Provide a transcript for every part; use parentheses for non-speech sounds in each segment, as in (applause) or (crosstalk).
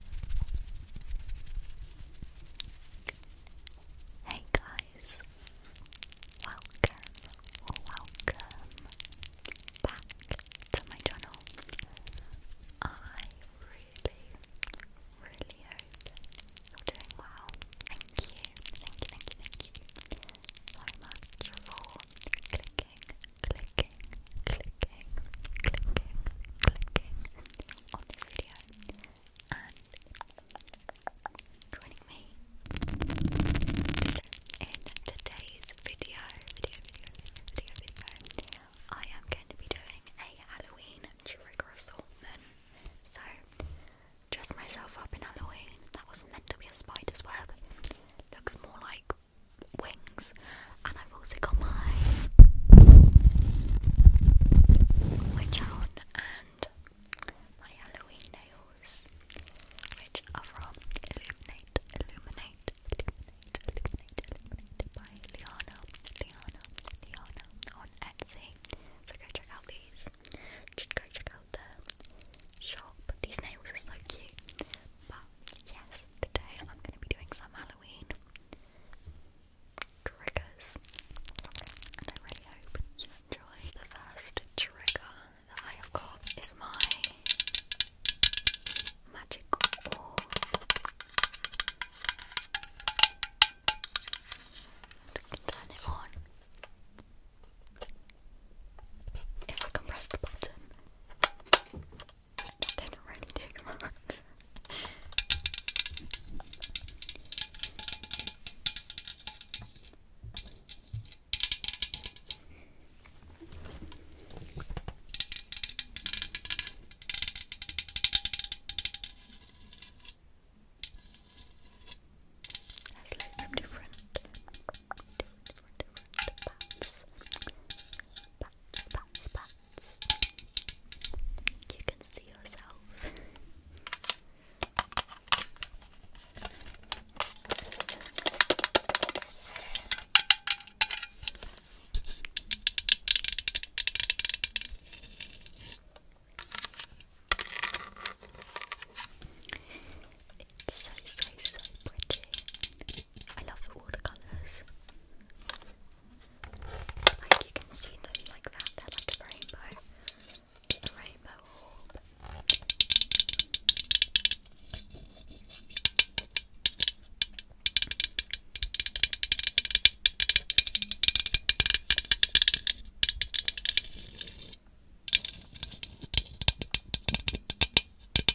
Hey guys, welcome, welcome back to my channel. I really, really hope you're doing well. Thank you, thank you, thank you, thank you so much for clicking, clicking, clicking, clicking, clicking, on this video and joining me in today's video, video, video, video, video, I am going to be doing a Halloween trigger assortment. So, dress myself up in Halloween. That was meant to be a spider's web. Looks more like wings, and I've also got my witch on and my Halloween nails, which are from Illuminate, Illuminate, Illuminate, Illuminate, by Liana, Liana, Liana on Etsy. So go check out these. Just go check out the shop. These nails are so cute. But yes, today I'm going to be doing some Halloween triggers. And I really hope you enjoy. The first trigger that I have got is my magic orb. Turn it on. If I can press the button. Then already take them off. There's loads of different, different, different, different paths. Paths, buns, buns, You can see yourself. It's so so so pretty. I love the watercolors. Like you can see them like that, they're like a rainbow. rainbow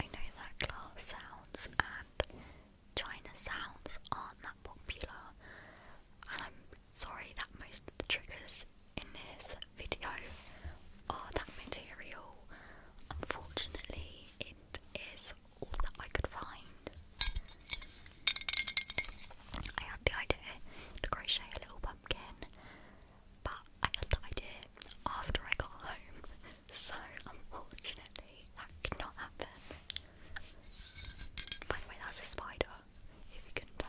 I know that glass sounds and China sounds aren't that popular, and I'm sorry that most of the triggers in this video are that material. Unfortunately, it is all that I could find. I had the idea to crochet a little pumpkin, but I had the after I got home, (laughs) so unfortunately that could not happen. By the way, that's a spider, if you could tell.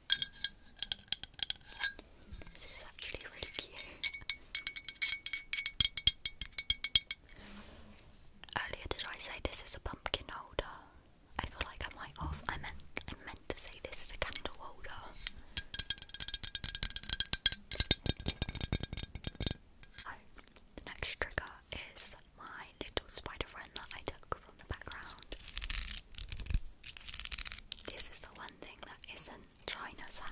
This is actually really cute. Earlier did I say this is a pumpkin holder? I feel like I'm like I meant I meant to say this is a candle holder. So oh, the next trigger is my little spider friend that I took from the background. This is the one thing that isn't China sound.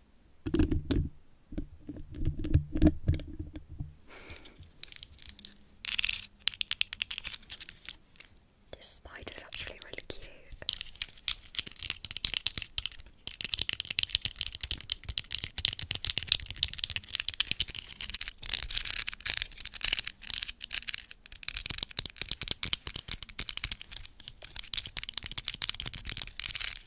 This spider is actually really cute.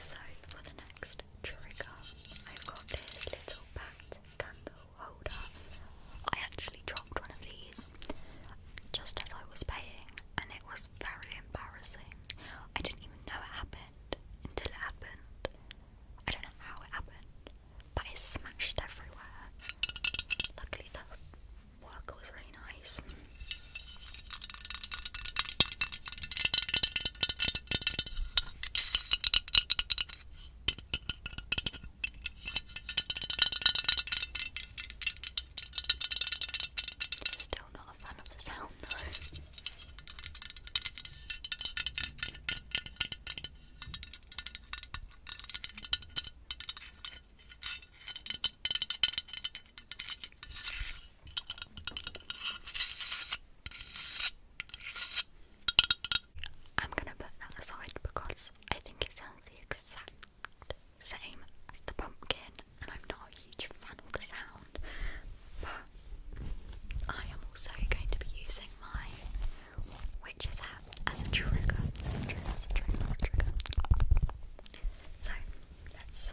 Sorry, for the next trigger. I've got this little bat candle holder. I actually dropped one of these just as I was paying, and it was very embarrassing. I didn't even know it happened until it happened. I don't know how it happened, but it smashed everywhere. Luckily, the worker was really nice. Still not a fan of the sound though. I'm gonna put that aside because I think it sounds the exact same as the pumpkin, and I'm not a huge fan of the sound. But I am also going to be using my witch's hat as a trigger. So let's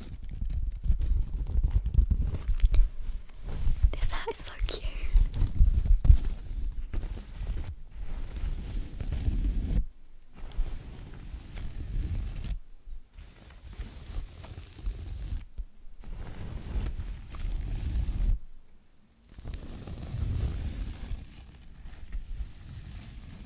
This hat is so cute.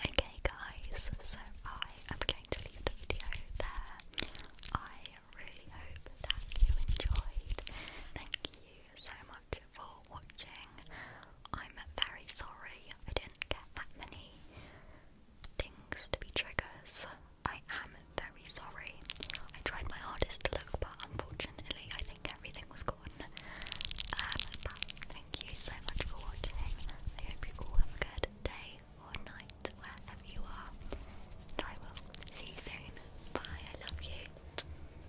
Okay, guys, so I am going to leave the video there. I really hope that you enjoyed. Thank you so much for watching. I'm very sorry I didn't get that many things to be triggers. I am very sorry. I tried my hardest to look, but unfortunately, I think everything was gone. Um, thank you so much for watching. I hope you all have a good day or night wherever you are. I will see you soon. Bye, I love you.